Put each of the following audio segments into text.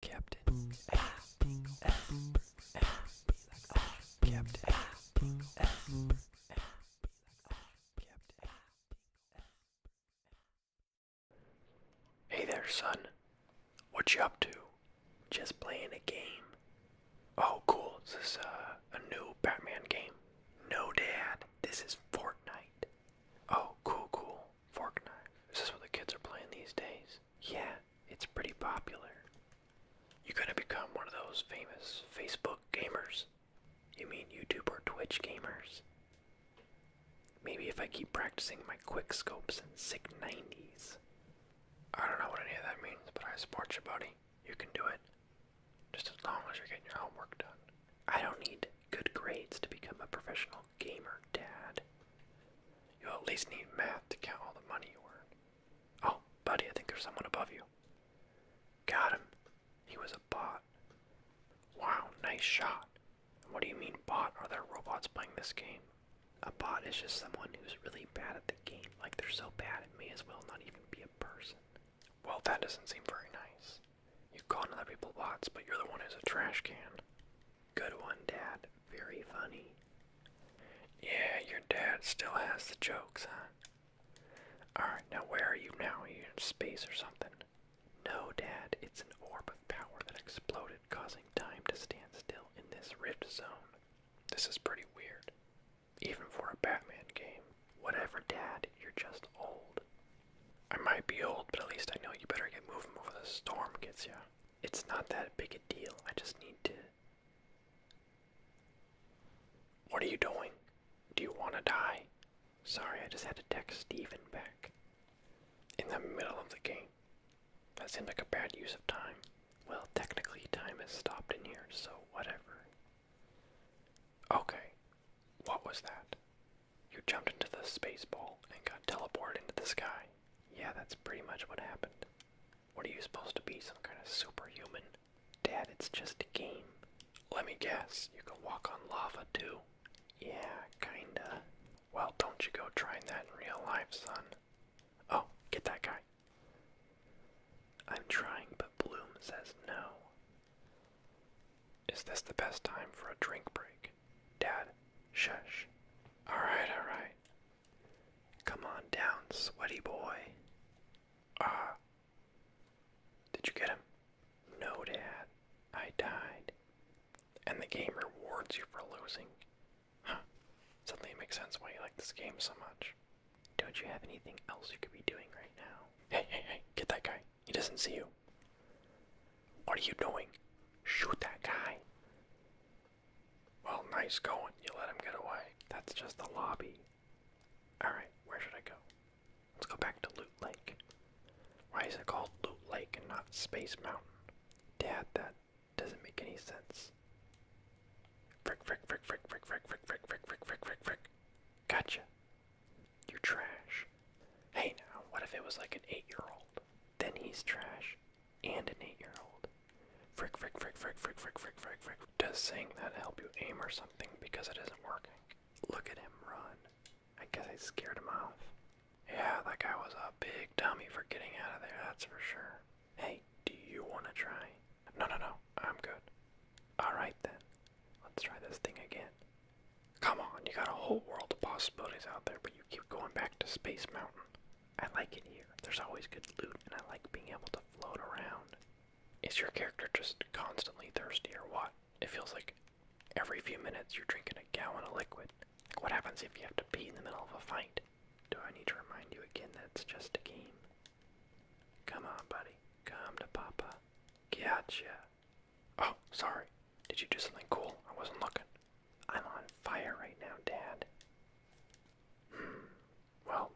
Captain Hey there, son. What you up to? Just playing a game. Oh, cool. Is this uh, a new Batman game? No, Dad. This is Fortnite. Oh, cool, cool. Fork knife. Is this what the kids are playing these days? Yeah, it's pretty popular. You gonna become one of those famous Facebook gamers? You mean YouTube or Twitch gamers? Maybe if I keep practicing my quick scopes and sick 90s. I don't know what any of that means, but I support you, buddy. You can do it. Just as long as you're getting your homework done. I don't need good grades to become a professional gamer dad. You'll at least need math to count all the money you earn. Oh, buddy, I think there's someone above you. Got him. He was a bot. Wow, nice shot. What do you mean bot? Are there robots playing this game? A bot is just someone who's really bad at the game. Like they're so bad it may as well not even be a person. Well, that doesn't seem very nice. You called other people bots, but you're the one who's a trash can. Good one, Dad. Very funny. Yeah, your dad still has the jokes, huh? Alright, now where are you now? Are in space or something? No, Dad, it's an orb of power that exploded, causing time to stand still in this rift zone. This is pretty weird. Even for a Batman game. Whatever, Dad, you're just old. I might be old, but at least I know you better get moving before the storm gets you. It's not that big a deal. I just need to. What are you doing? Do you want to die? Sorry, I just had to text Steven back. In the middle of the game. That seemed like a bad use of time. Well, technically, time has stopped in here, so whatever. Okay, what was that? You jumped into the space ball and got teleported into the sky. Yeah, that's pretty much what happened. What are you supposed to be, some kind of superhuman? Dad, it's just a game. Let me guess, you can walk on lava too? Yeah, kinda. Well, don't you go trying that in real life, son. Oh, get that guy. I'm trying, but Bloom says no. Is this the best time for a drink break? Dad, shush. Alright, alright. Come on down, sweaty boy. Ah. did you get him? No, Dad. I died. And the game rewards you for losing. Huh. Suddenly it makes sense why you like this game so much. Don't you have anything else you could be doing right now? Hey, hey, hey, get that guy. He doesn't see you. What are you doing? Shoot that guy. Well, nice going. You let him get away. That's just the lobby. Alright, where should I go? Let's go back to Loot Lake. Why is it called Loot Lake and not Space Mountain? Dad, that doesn't make any sense. Frick, frick, frick, frick, frick, frick, frick, frick, frick, frick, frick, frick, frick. Gotcha. You're trash. Hey now, what if it was like an eight year old? Then he's trash and an eight year old. Frick, frick, frick, frick, frick, frick, frick, frick, frick. Does saying that help you aim or something because it isn't working? Look at him run. I guess I scared him off. Yeah, that guy was a big dummy for getting out of there, that's for sure. Hey, do you want to try? No, no, no. I'm good. Alright then. Let's try this thing again. Come on, you got a whole world of possibilities out there, but you keep going back to Space Mountain. I like it here. There's always good loot, and I like being able to float around. Is your character just constantly thirsty or what? It feels like every few minutes you're drinking a gallon of liquid. Like what happens if you have to pee in the middle of a fight? Do I need to remind you again that it's just a game? Come on, buddy. Come to Papa. Gotcha. Oh, sorry. Did you do something cool? I wasn't looking. I'm on fire right now, Dad. Hmm. Well,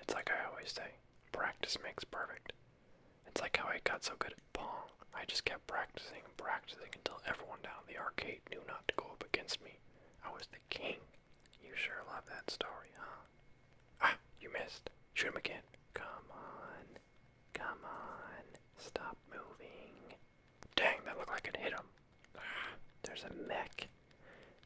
it's like I always say practice makes perfect. It's like how I got so good at Pong. I just kept practicing and practicing until everyone down the arcade knew not to go up against me. I was the king. You sure love that story, huh? Ah, you missed. Shoot him again. Come on. Come on. Stop moving. Dang, that looked like it hit him. there's a mech.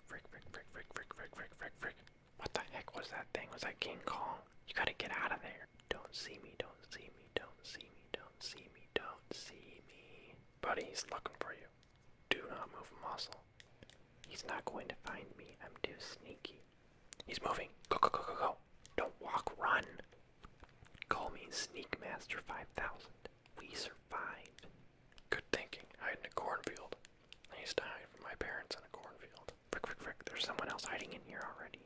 Frick, frick, frick, frick, frick, frick, frick, frick, frick. What the heck was that thing? Was that King Kong? You gotta get out of there. Don't see me, don't see me, don't see me, don't see me, don't see me. Buddy, he's looking for you. Do not move a muscle. He's not going to find me. I'm too sneaky. He's moving. Go, go, go, go, go. Don't walk, run. Call me Sneak Master 5000. We survived. Good thinking. Hide in a cornfield. I used to hide from my parents in a cornfield. Quick quick frick. There's someone else hiding in here already.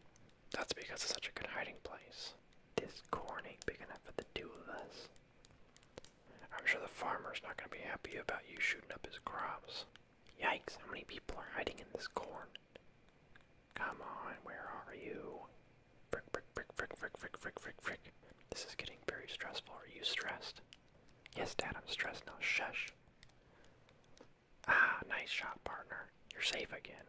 That's because it's such a good hiding place. This corn ain't big enough for the two of us. I'm sure the farmer's not going to be happy about you shooting up his crops. Yikes, how many people are hiding in this corn? Come on, where are you? Frick, frick, frick, frick, frick, frick, frick, frick, frick. This is getting very stressful. Are you stressed? Yes, Dad, I'm stressed now. Shush. Ah, nice shot, partner. You're safe again.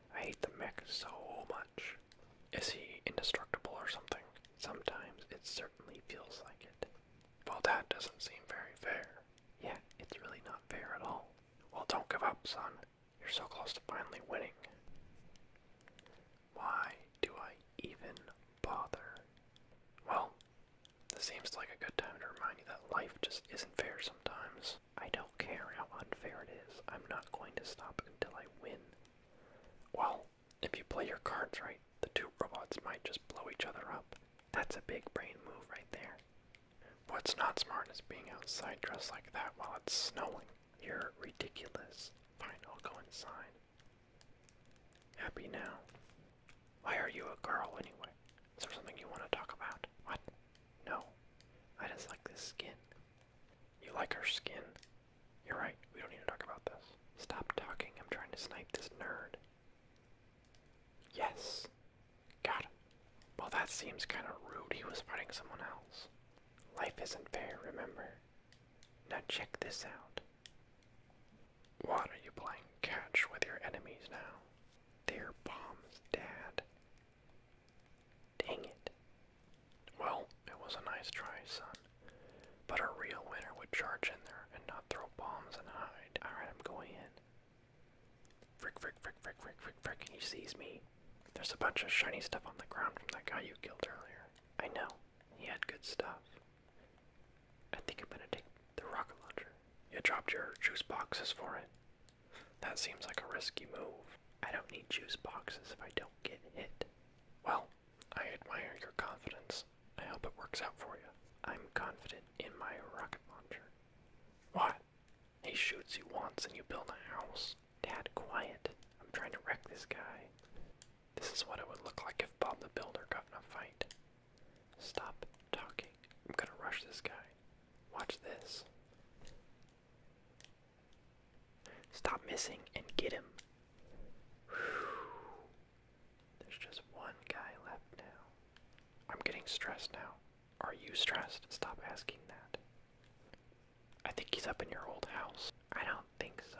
I hate the mech so much. Is he indestructible or something? Sometimes it certainly feels like it. Well, that doesn't seem very fair. Yeah, it's really not fair at all. Well, don't give up, son. You're so close to finally winning. Why do I even bother? Well, this seems like a good time to remind you that life just isn't fair sometimes. I don't care how unfair it is. I'm not going to stop until I win. Well, if you play your cards right, the two robots might just blow each other up. That's a big brain move right there. What's not smart is being outside dressed like that while it's snowing. You're ridiculous. Fine, I'll go inside. Happy now. Why are you a girl anyway? Is there something you want to talk about? What? No. I just like this skin. You like her skin? You're right, we don't need to talk about this. Stop talking, I'm trying to snipe this nerd. Yes. Got Well, that seems kind of rude. He was fighting someone else. Life isn't fair, remember? Now check this out. What are you playing catch with your enemies now? they bombs, Dad. Dang it. Well, it was a nice try, son. But a real winner would charge in there and not throw bombs and hide. Alright, I'm going in. Frick, frick, frick, frick, frick, frick, He sees me. There's a bunch of shiny stuff on the ground from that guy you killed earlier. I know. He had good stuff. I think I'm gonna take the rocket launcher. You dropped your juice boxes for it. That seems like a risky move. I don't need juice boxes if I don't get hit. Well, I admire your confidence. I hope it works out for you. I'm confident in my rocket launcher. What? He shoots you once and you build a house. Dad, quiet. I'm trying to wreck this guy. This is what it would look like if Bob the Builder got in a fight. Stop talking. I'm gonna rush this guy. Watch this. Stop missing and get him. There's just one guy left now. I'm getting stressed now. Are you stressed? Stop asking that. I think he's up in your old house. I don't think so.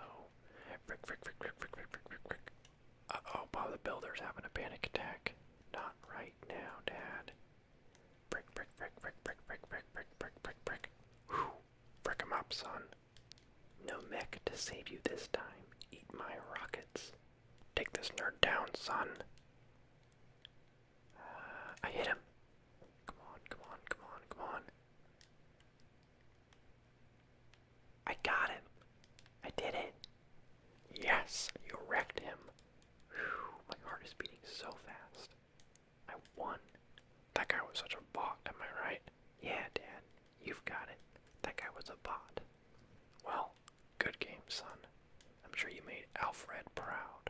Uh oh, Bob the Builder's having a panic attack. Not right now, Dad. Brick, brick, brick, brick, brick, brick, brick, brick, brick, brick, brick. Whew. Brick 'em up, son. No mech to save you this time. Eat my rockets. Take this nerd down, son. Uh, I hit him. Come on, come on, come on, come on. I got him. I did it. Yes, you wrecked him. my heart is beating so fast. I won. That guy was such a bot, am I right? Yeah, Dad, you've got it. That guy was a bot. Well, good game, son. I'm sure you made Alfred proud.